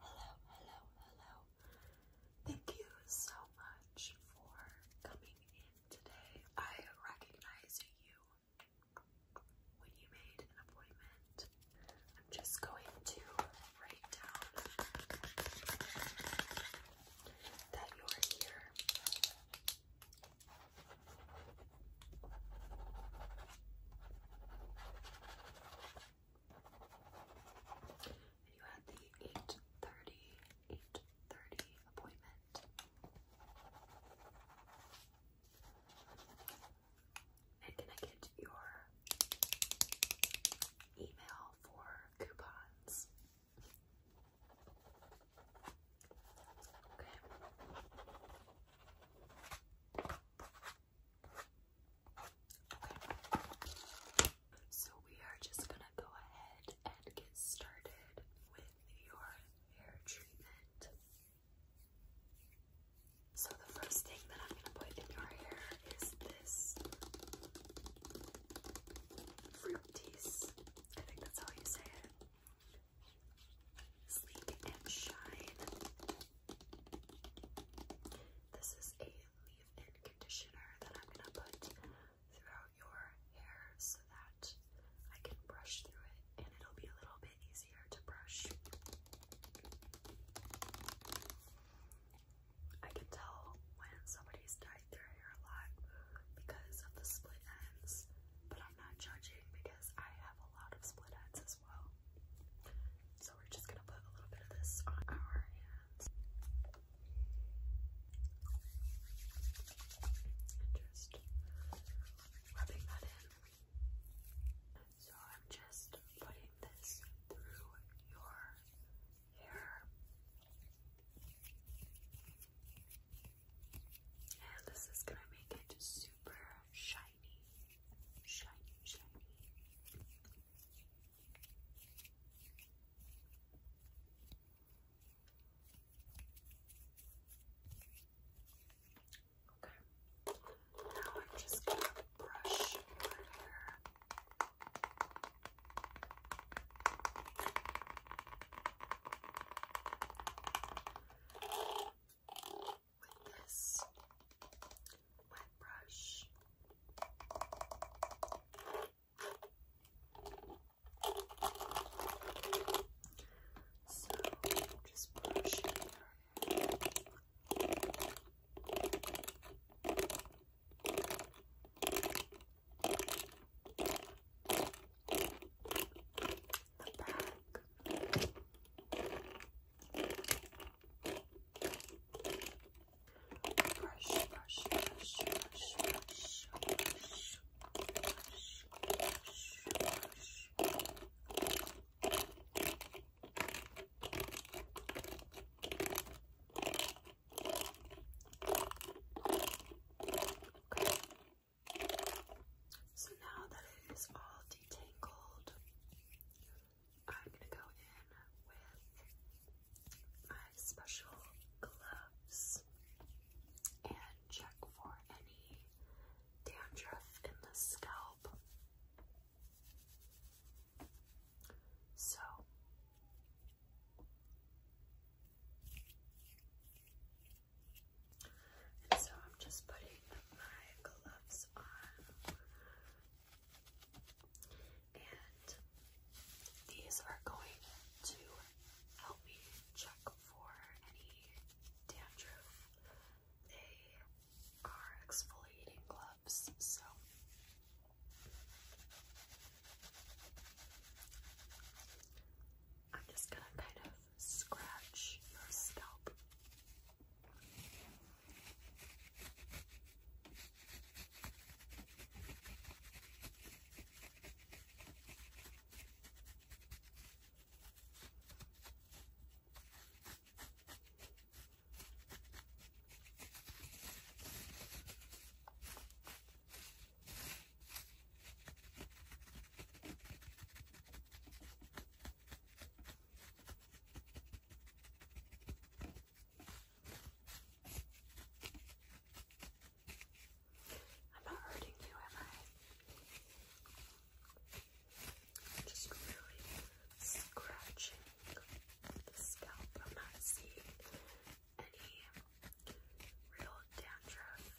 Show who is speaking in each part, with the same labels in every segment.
Speaker 1: hello, hello, hello. Thank you so much for coming in today. I recognize you when you made an appointment. I'm just going to write down that you're here. And you had the 8.30, appointment. And can I get your email for coupons? Okay. So we are just gonna go ahead and get started with your hair treatment. So the first thing that I'm gonna put in your hair is this fruities. I think that's how you say it. Sleek and shine. This is a leave-in conditioner that I'm gonna put throughout your hair so that I can brush through it and it'll be a little bit easier to brush. I can tell when somebody's dyed their hair a lot because of the split ends, but I'm not judging because I have a lot of split ends as so we're just gonna put a little bit of this on our hands. just rubbing that in. So I'm just putting this through your hair. And this is gonna make it super shiny shiny, shiny. Okay, now I'm just going to brush my hair with this wet brush. So just brush the back. Brush, brush, brush, brush, brush, brush, brush, brush, brush. Okay. So now that it is all detangled, I'm gonna go in with my special gloves and check for any dandruff in the scalp. So so I'm just putting my gloves on. And these are going to help me check for any dandruff. They are exfoliating gloves, so I'm just gonna kind of scratch your scalp. I'm not hurting you, am I? just really scratching the scalp. I'm not seeing any real dandruff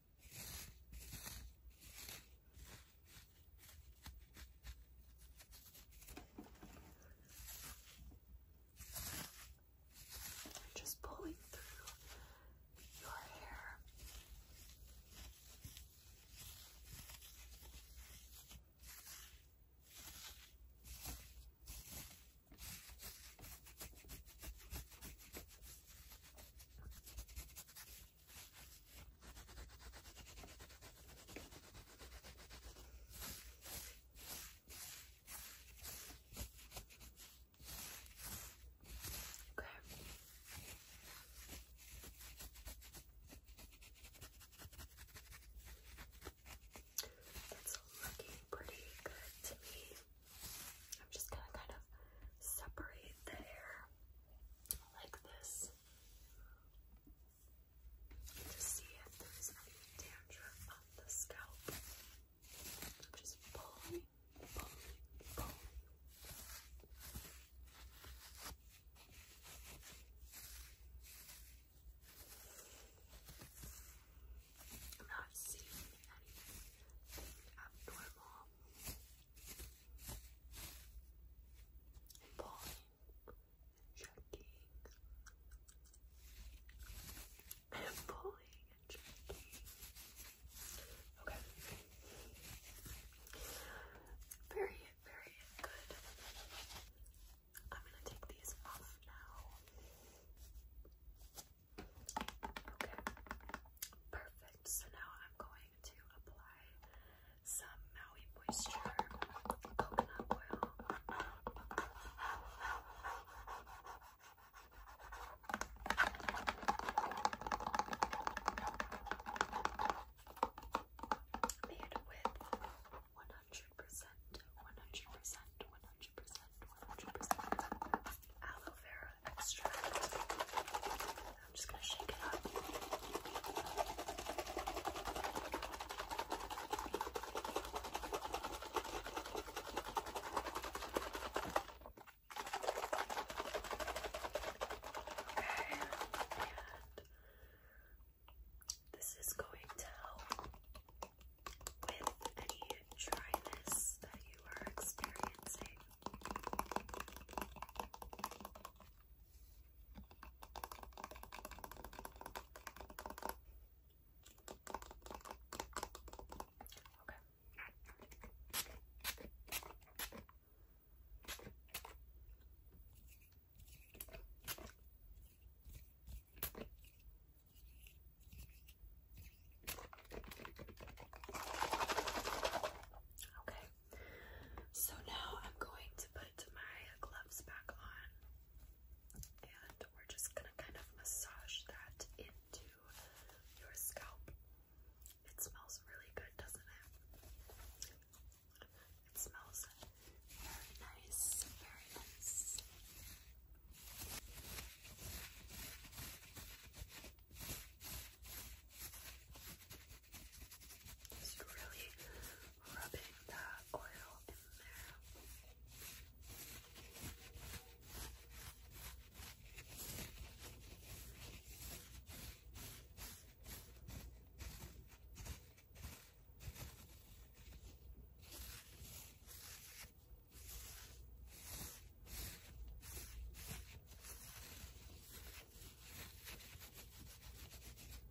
Speaker 1: you just pulling through your hair. Okay. It's looking pretty good to me. I'm just gonna kind of separate the hair like this to see if there is any dandruff on the scalp. just pulling, pulling, pulling. I'm not seeing anything abnormal Pawing, checking, pulling and checking. Okay. Very, very good. I'm gonna take these off now perfect. So now I'm going to apply some Maui Moisture coconut oil. Made with one hundred percent, one hundred percent, one hundred percent, one hundred percent aloe vera extract. I'm just going to shake it up. Okay, and this is going to help with any dryness that you are experiencing. Okay. Okay, so now I'm going to put my gloves back on and we're just gonna kind of massage that into your scalp. It smells really good, doesn't it? It smells very nice, very nice. Just really rubbing that oil in there. Okay,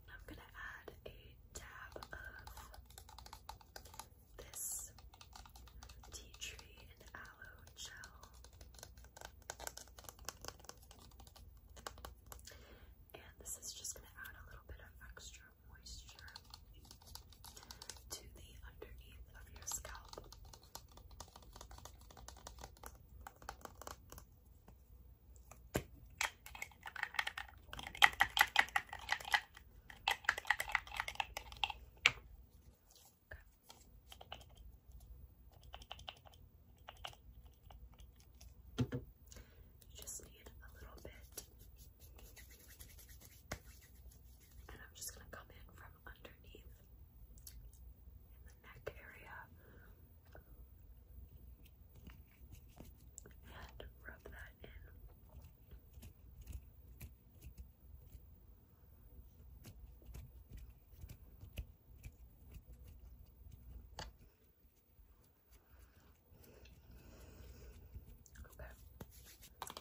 Speaker 1: I'm going to add a dab of this tea tree and aloe gel. And this is just going to add a little bit of extra moisture to the underneath of your scalp. You just need a little bit and I'm just going to come in from underneath in the neck area and rub that in. Okay.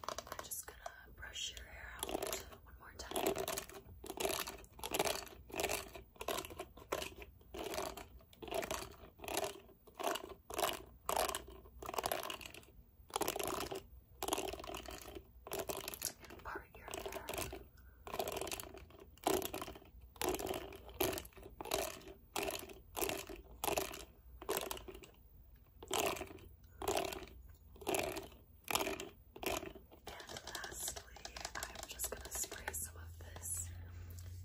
Speaker 1: We're just gonna brush your hair out one more time. part your hair. And lastly, I'm just gonna spray some of this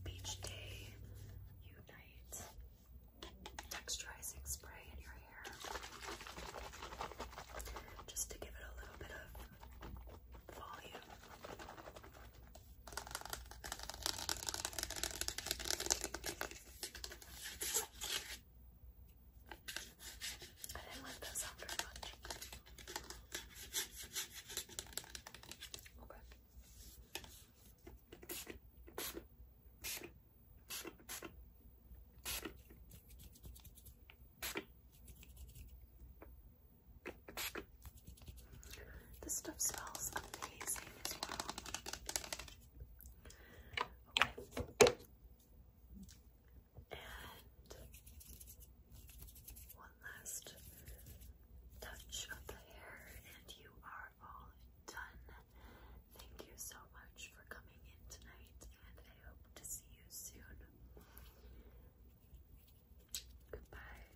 Speaker 1: Beach Day Unite texturizing spray in your hair just to give it a little bit of volume. I didn't like that sound very much. Okay. This stuff smells amazing as well. Okay. And one last touch of the hair, and you are all done. Thank you so much for coming in tonight, and I hope to see you soon. Goodbye.